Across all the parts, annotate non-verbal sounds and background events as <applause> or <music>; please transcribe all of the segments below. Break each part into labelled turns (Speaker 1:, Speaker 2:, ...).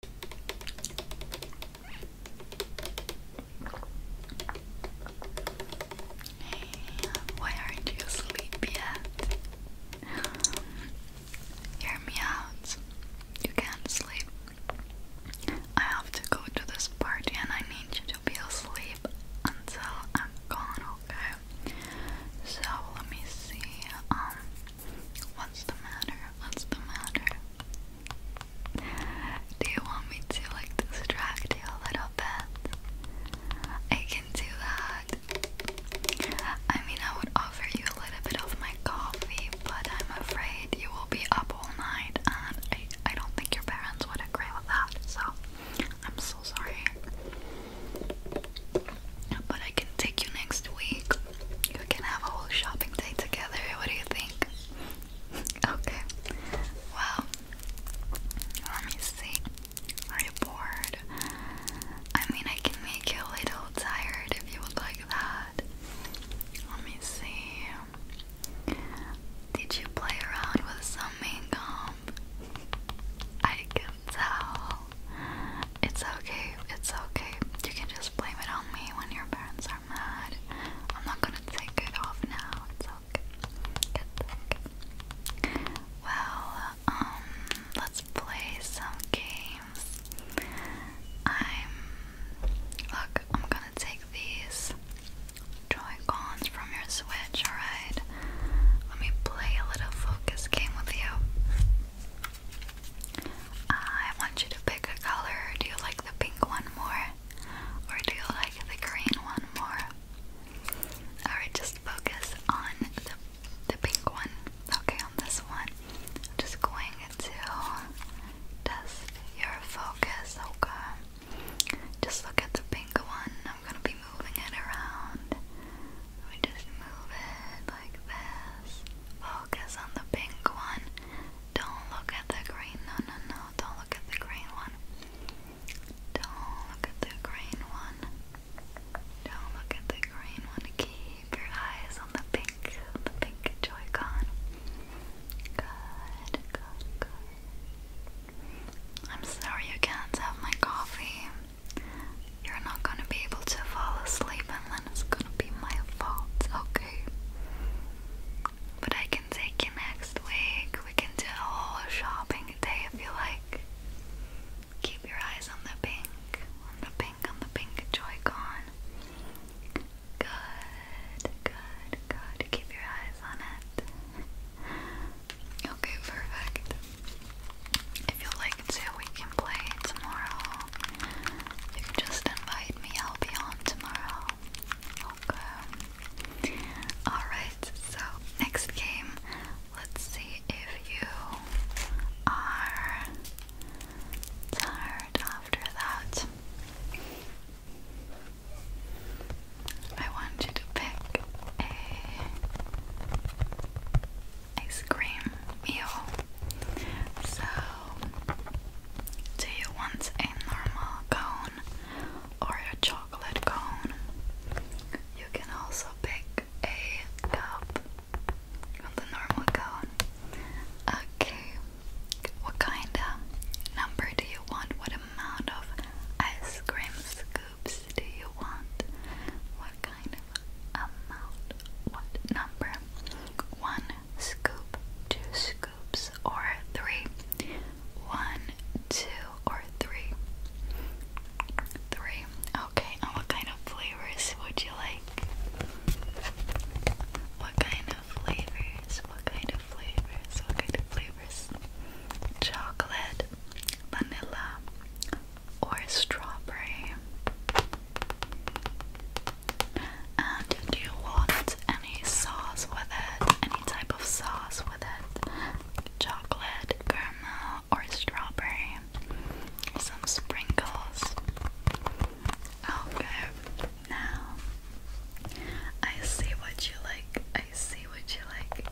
Speaker 1: Hey, why aren't you asleep yet? Hear me out. You can't sleep. I have to go to this party and I need you to be asleep until I'm gone, okay? So let me see. Um What's the matter? What's the matter? Do you want me to like distract you a little bit? I can do that. I mean, I would offer you a little bit of my coffee, but I'm afraid you will be up all night, and I, I don't think your parents would agree with that, so I'm so sorry. But I can take you next week, you can have a whole shopping day together. What do you think? <laughs> okay. Well, let me see. Are you bored? I mean, I can make you a little tired if you would like that. Let me see. Did you play around with some makeup? I can tell. It's okay. It's okay. You can just blame it on me when your parents are mad. I'm not gonna take it off now. It's okay. It's okay. Well, um, let's play some games. I'm look. I'm gonna take these Joy Cons from your Switch. All right. Let me play a little focus game with you. Uh, I want you to pick a color. Do you like the pink one more? Or do you like the green one more? Alright, just focus on the, the pink one. Okay, on this one. I'm just going to test your focus, okay? Just look at the pink one. I'm gonna be moving it around. We just move it like this focus on the pink one. Don't look at the green. No, no, no. Don't look at the green one. Don't look at the green one. Don't look at the green one. Keep your eyes on the pink, the pink Joy-Con. Good, good, good. I'm sorry you can't have my coffee. You're not gonna be able to fall asleep and it's gonna be my fault, okay? But I can take you next week. We can do a whole shopping day if you like. Keep your eyes on the pink, on the pink, on the pink Joy-Con. Good, good, good. Keep your eyes on it. Okay, perfect. If you like to, we play tomorrow. You just invite me, I'll be on tomorrow. Okay. Alright, so next game, let's see if you are tired after that. I want you to pick a ice cream meal. So do you want a normal cone or a chocolate cone? You can also pick a cup on the normal cone. Okay, what kind of number do you want? What amount of ice cream scoops do you want? What kind of amount? What number? One, scoop, two scoops, or three. One, two, or three. Three. Okay, and what kind of flavors would you like? What kind of flavors? What kind of flavors? What kind of flavors? Chocolate, vanilla, or strawberry? And do you want any sauce with it? Any type of sauce with it? Chocolate, caramel, or strawberry? Some sprinkles. Okay, now I see what you like. I see what you like.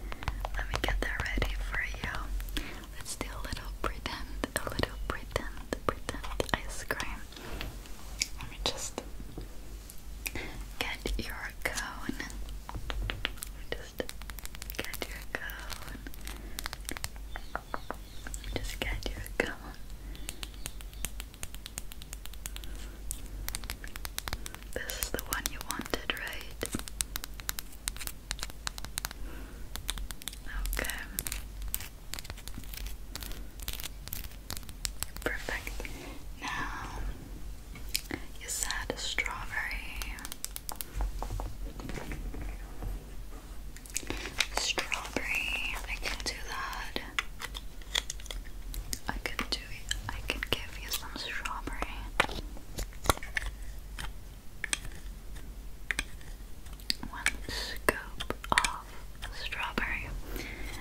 Speaker 1: Let me get that ready for you. Let's do a little pretend, a little pretend pretend, pretend ice cream. Let me just get your cone. Just get your cone. Just get your cone. This is the one you wanted, right? Okay. Perfect. Now, you said strawberry. Strawberry. I can do that. I could do it. I could give you some strawberry one scoop of strawberry,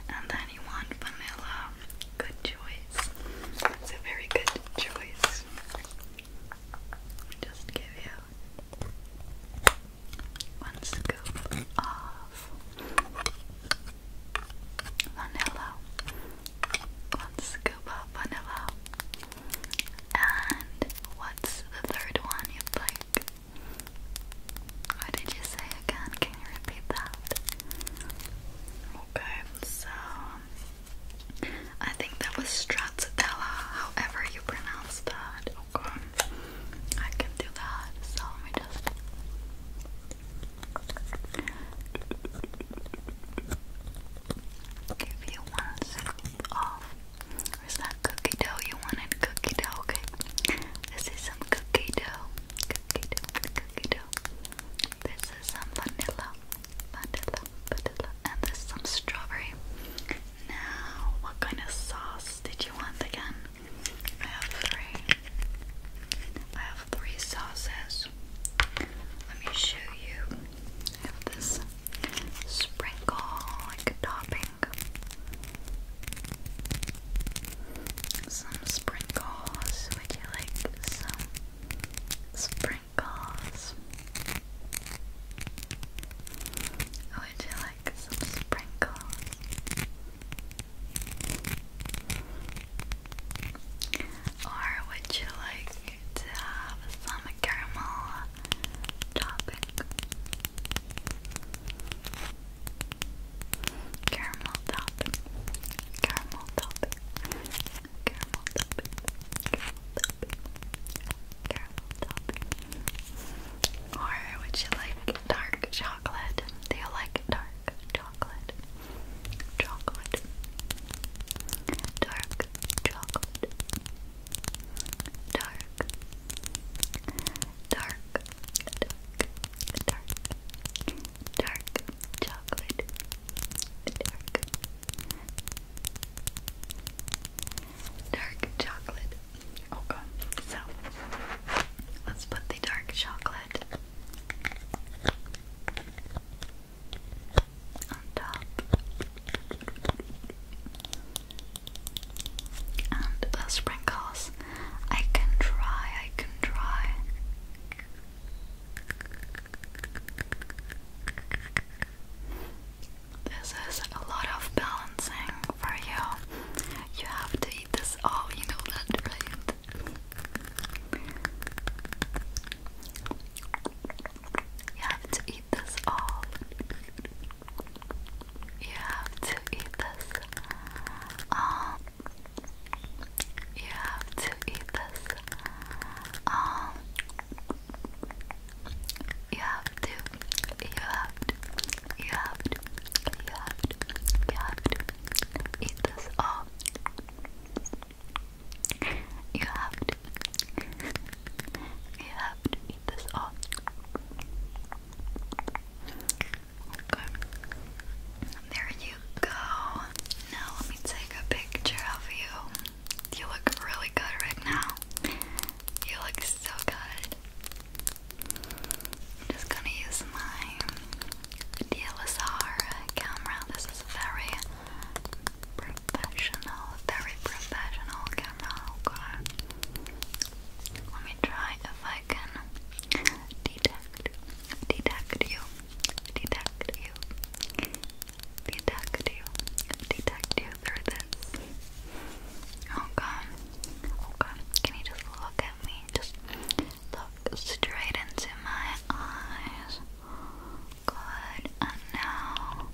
Speaker 1: and then you want vanilla. Good choice. It's a very good choice. Just give you one scoop of vanilla, one scoop of vanilla, and what's the third one you'd like? What did you say again? Can you repeat that? Okay, so I think that was stracciatella, however you pronounce that. Okay, I can do that. So let me just. Give you one scoop Where's that cookie dough? You wanted cookie dough, okay? This is some cookie dough. Cookie dough, cookie dough. This is some vanilla. Vanilla, vanilla. And this is some strawberry. Now, what kind of sauce did you want again? I have three. I have three sauces. Let me show you. this sprinkle like a topping. Some sprinkles. Would you like some sprinkles? Would you like some sprinkles? Or would you like to have some caramel topping? Caramel topping. Caramel topping. Caramel topping. Caramel topping. Caramel topping. Or would you like dark chocolate? Do you like dark chocolate? chocolate. Dark chocolate dark, dark, dark, dark, dark chocolate, dark, dark chocolate. Okay, so let's put the dark chocolate on top. And the sprinkles. I can try, I can try. This is a lot of balancing for you. You have to eat this all, you know that, right? You have to eat this all. You have to eat this. Um, you have to eat this. Um, you have to. You have to. You have to. You have to. You have to eat this. Oh, you have to. You have to eat this all. There you go. Now let me take a picture of you. You look really good right now. You look so good. I'm just gonna use my DLSR camera. This is a very professional, very professional camera. Let me try if I can detect, detect you, detect you, detect you, detect you through this. Okay, oh, okay. Oh, can you just look at me? Just look straight into my eyes. Good. And now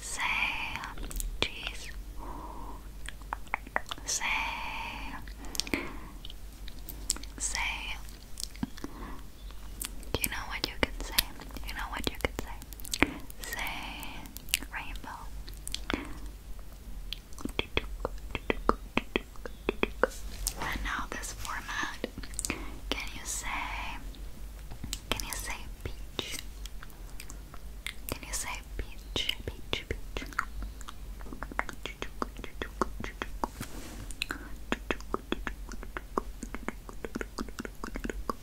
Speaker 1: Say cheese. Say say You know what you can say. You know what you can say. Say rainbow. And now this format. Can you say? Can you say peach? Can you say peach? Peach, peach.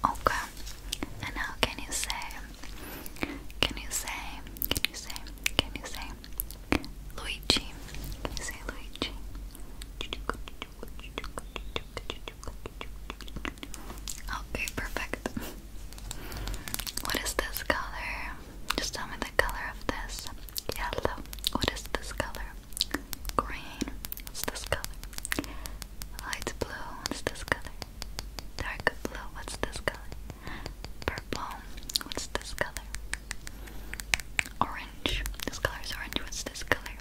Speaker 1: Okay. And now can you say can you say can you say can you say Luigi? Can you say Luigi? Okay, perfect. What is this color? Just tell me the color of this. Yellow. What is this color? Green. What's this color? Light blue. What's this color? Dark blue. What's this color? Purple. What's this color? Orange. This color is orange. What's this color?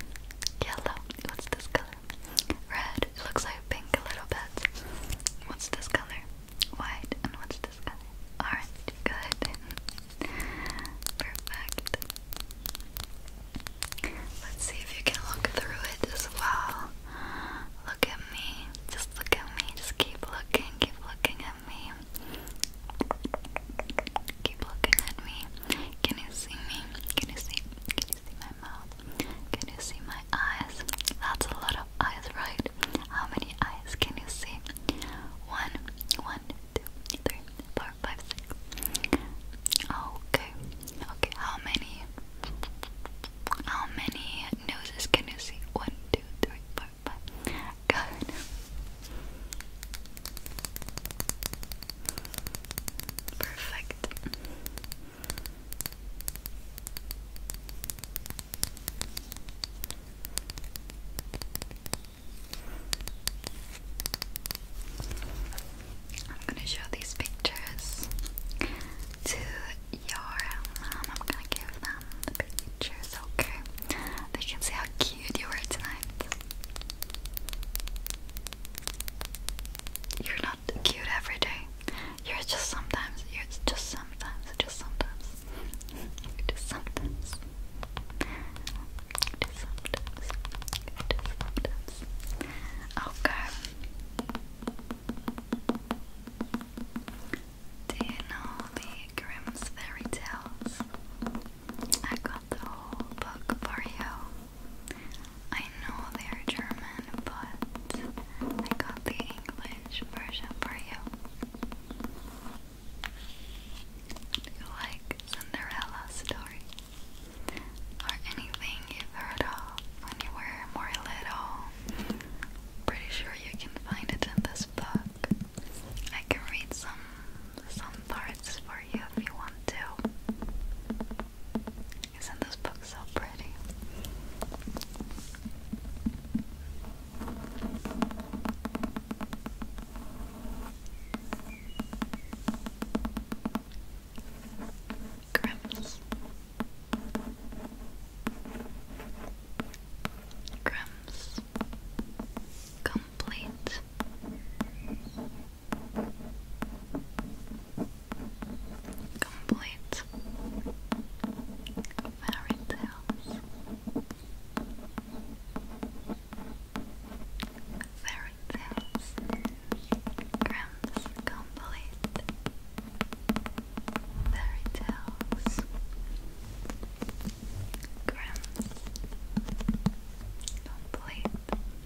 Speaker 1: Yellow. What's this color? Red. It looks like pink a little bit. What's this color? White. And what's this color? Orange. Good. Perfect. Let's see if you can look through it as well. Look at me. Just look at me. Just keep looking. Keep looking at me. Keep looking at me. Can you see me? Can you see? see my mouth? Can you see my eyes? That's a lot of eyes, right? How many eyes can you see? One, one, two, three, four, five, six. Okay, okay. How many? How many noses can you see? One, two, three, four, five. Good. Perfect. I'm going to show these pictures to your mom. Um, I'm going to give them the pictures, okay? They can see how cute you were tonight. You're not cute every day. You're just sometimes. You're just sometimes. Just sometimes. just sometimes. Just sometimes. Just sometimes. Do you know the Grimm's fairy tales? I got the whole book for you. I know they're German, but I got the English version for you. you like Cinderella story? Or anything you heard of when you were more little? Pretty sure you can find it in this book. I can read some some parts for for you if you want to. Isn't this book so pretty? Grimm's Grimm's Complete Complete fairy tales. Fairy tales. Grams complete. Fairy tales. Grams complete.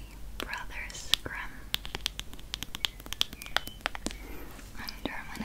Speaker 1: The Brothers Grimm under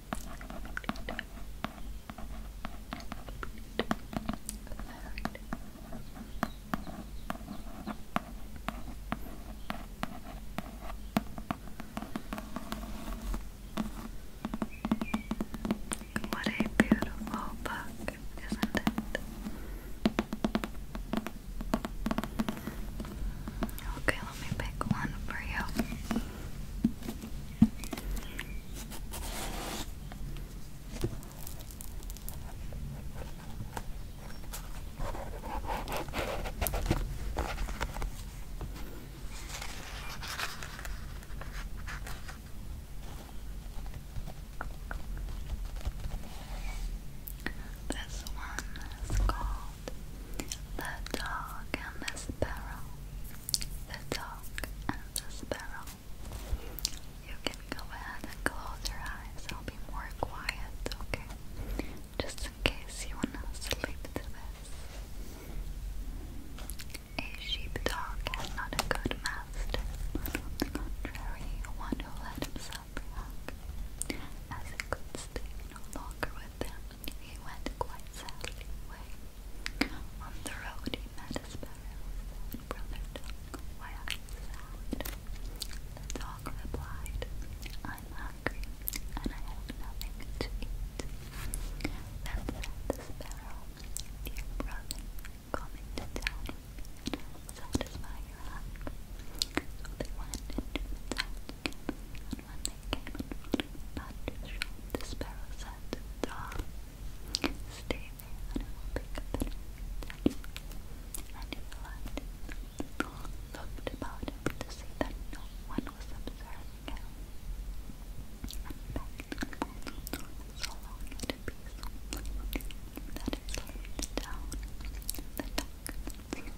Speaker 1: What a beautiful book, isn't it? Okay, let me pick one for you. This one is called The Dog and the Sparrow. The Dog the sparrow. You can go ahead and close your eyes. I'll be more quiet, okay? Just in case you wanna sleep to this. A sheepdog has not a good master, on the contrary, one who let himself be hung. As he could stay no longer with him, he went quite sadly away. On the road he met a sparrow and brother why are you sad? The dog replied, I'm hungry and I have nothing to eat. Then said the sparrow, dear brother, come into town and satisfy your hunger. So they went into town and when they came in not sure the sparrow said to Stay and pick up the nest. And he left. Looked about to see that no one was observing him. And back so long at a piece that it slid down the duck ran into the corner and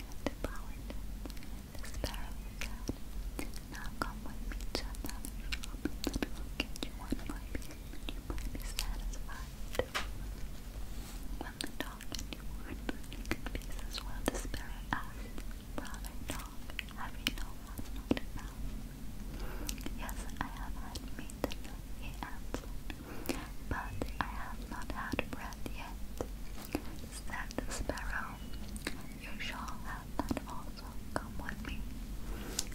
Speaker 1: devoured the sparrow said, Now come with me to another shop, and you one more piece, you might be satisfied. When the dog and you were in good pieces, well, the sparrow asked, Brother dog, have you no one not Yes, I have had meat enough, he but I have not had bread yet. Said the sparrow, you shall have that also, come with me.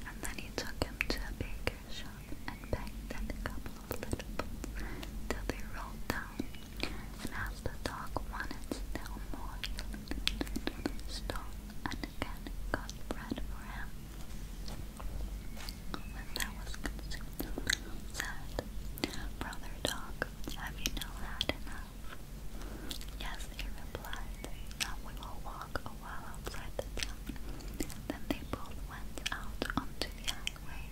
Speaker 1: And then he took him to a baker's shop and begged them a couple of little boots till they rolled down. And as the dog wanted still more, he stole and again got bread for him. When that was consumed, said, Brother Dog, have you now had enough? Yes, he replied, now we will walk a while outside the town. Then they both went out onto the highway.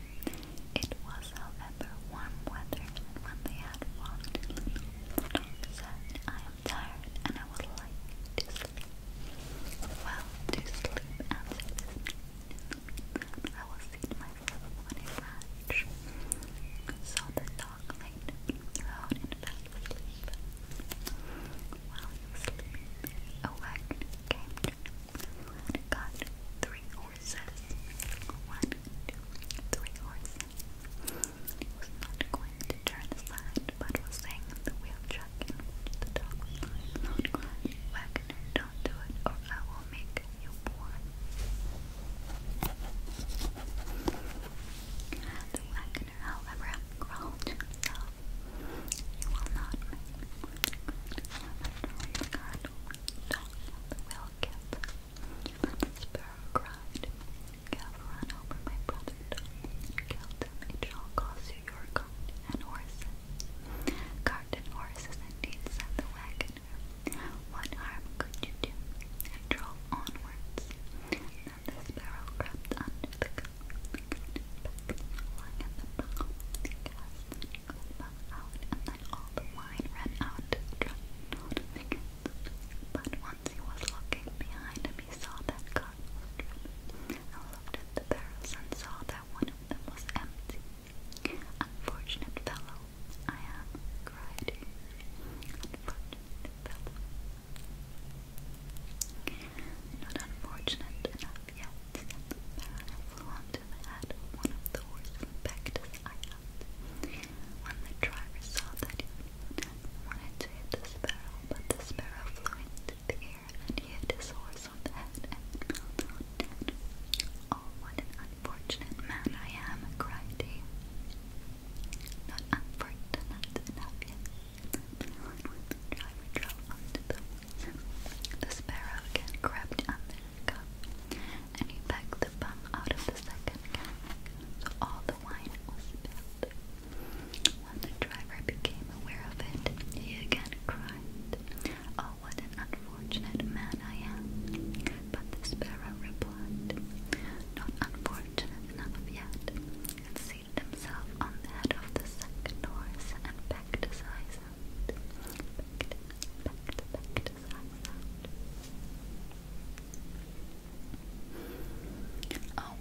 Speaker 1: It was, however, warm weather, when they had walked a said, I am tired and I would like to sleep. Well, to sleep, answered his I will seat myself on a So the dog chocolate thrown wagon came got three horses. One, two, three horses. was not going to turn aside, but was in the wheel track the dog was lying wagon, don't do it or I will make you The wagoner, however, growled himself. You will not make me the candle, dog will give. The sparrow cried, Gav ran over my brother, killed him. It shall cost you your cart and horses. Cart and horses indeed, said the wagon her. What could you do? I drove onwards. Then the sparrow crept under the coat, and then all the wine ran out But once he was looking behind him, he saw that cart was driven, and the barrels and saw that one of them was empty. Unfortunate fellow, I have cried unfortunate Not unfortunate enough yet, since Baron flew onto the head one of the horsemen back to the When the driver saw that he wanted to hit the sparrow, but the sparrow flew into the air and hit his horse on the head and fell down unfortunate man I am, cried he. Not unfortunate enough yet. Driver drove the woods. again crept under and he pecked the bum out of the second can, so all the wine was spilled. When the driver became aware of it, he again cried, oh, what an unfortunate man I am! But the sparrow replied, Not unfortunate enough yet, and seated himself on the head of the second horse and pecked his eyes out. Oh,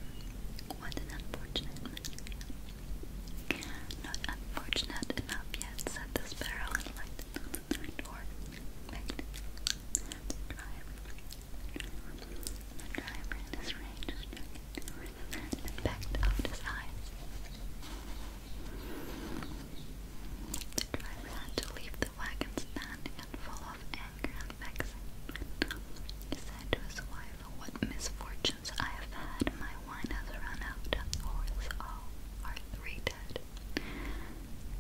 Speaker 1: what an unfortunate Not unfortunate enough yet, said the sparrow and lighted on the third horse the driver, the driver in his range his eyes. The driver had to leave the wagon standing and full of anger and vexing. said to his wife, What misfortunes I have had! My wine has run out, and the horses all are three dead.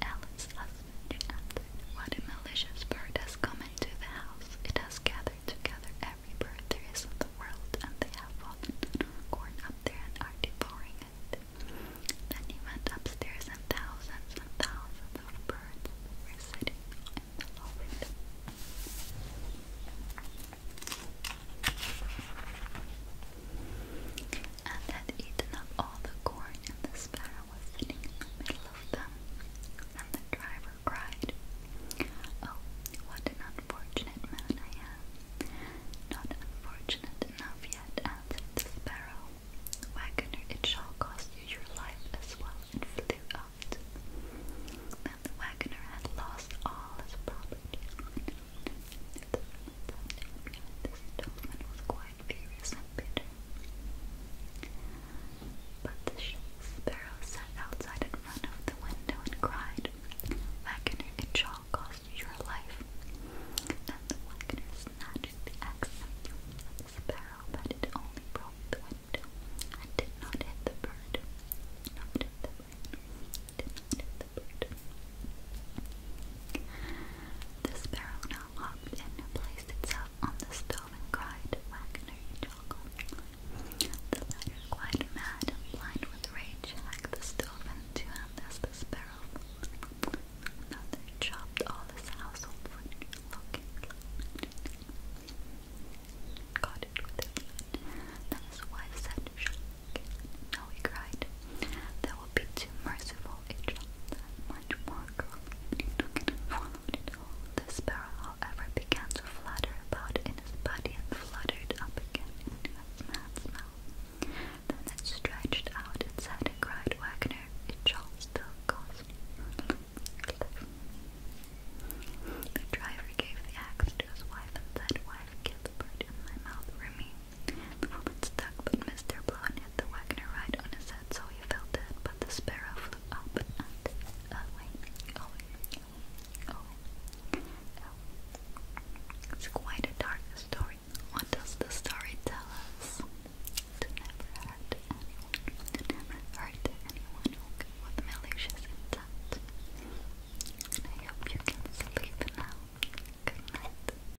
Speaker 1: Alice, passage answered, What a malicious bird has come into the house. It has gathered together every bird there is in the world, and they have fallen and up there and are devouring it. Then he went upstairs, and thousands and thousands of birds were sitting in the loft and had eaten up all the corn, and the sparrow was sitting in the middle of them. And the driver cried, Oh, what an unfortunate man I am! Not unfortunate enough yet, answered the sparrow. Wagoner, it shall cost you your life as well, and flew out. Then the wagoner had lost all his property. The this was quite furious and bitter. But the sparrow sat outside in front of the window and cried, Wagner, it cost you your life. And the Wagner the axe at the sparrow, but it only broke the window and did not hit the bird. Not Did not hit the bird. The sparrow now and placed itself on the stove and cried, Wagner Angel. The latter, quite mad blind with rage, hacked the stove in two and the sparrow another chopped all his household food, got it with his Then his wife said, no, he cried. That would be too merciful beautiful Egypt much more girly took it and followed it The sparrow, however, began to flutter about in his body and fluttered up again into his mouth. Then it stretched out its head and cried, Wagner, it all still cost you The driver gave the axe to his wife and said, Wife, kill the bird in my mouth for me. The woman stuck, but Mr. Blount hit the wagoner right on his head, so he fell dead, but the sparrow flew up and away, away, It's quite a dark story. What does the story tell us? To never hurt anyone. hurt anyone with malicious intent. And you can sleep now. Good night.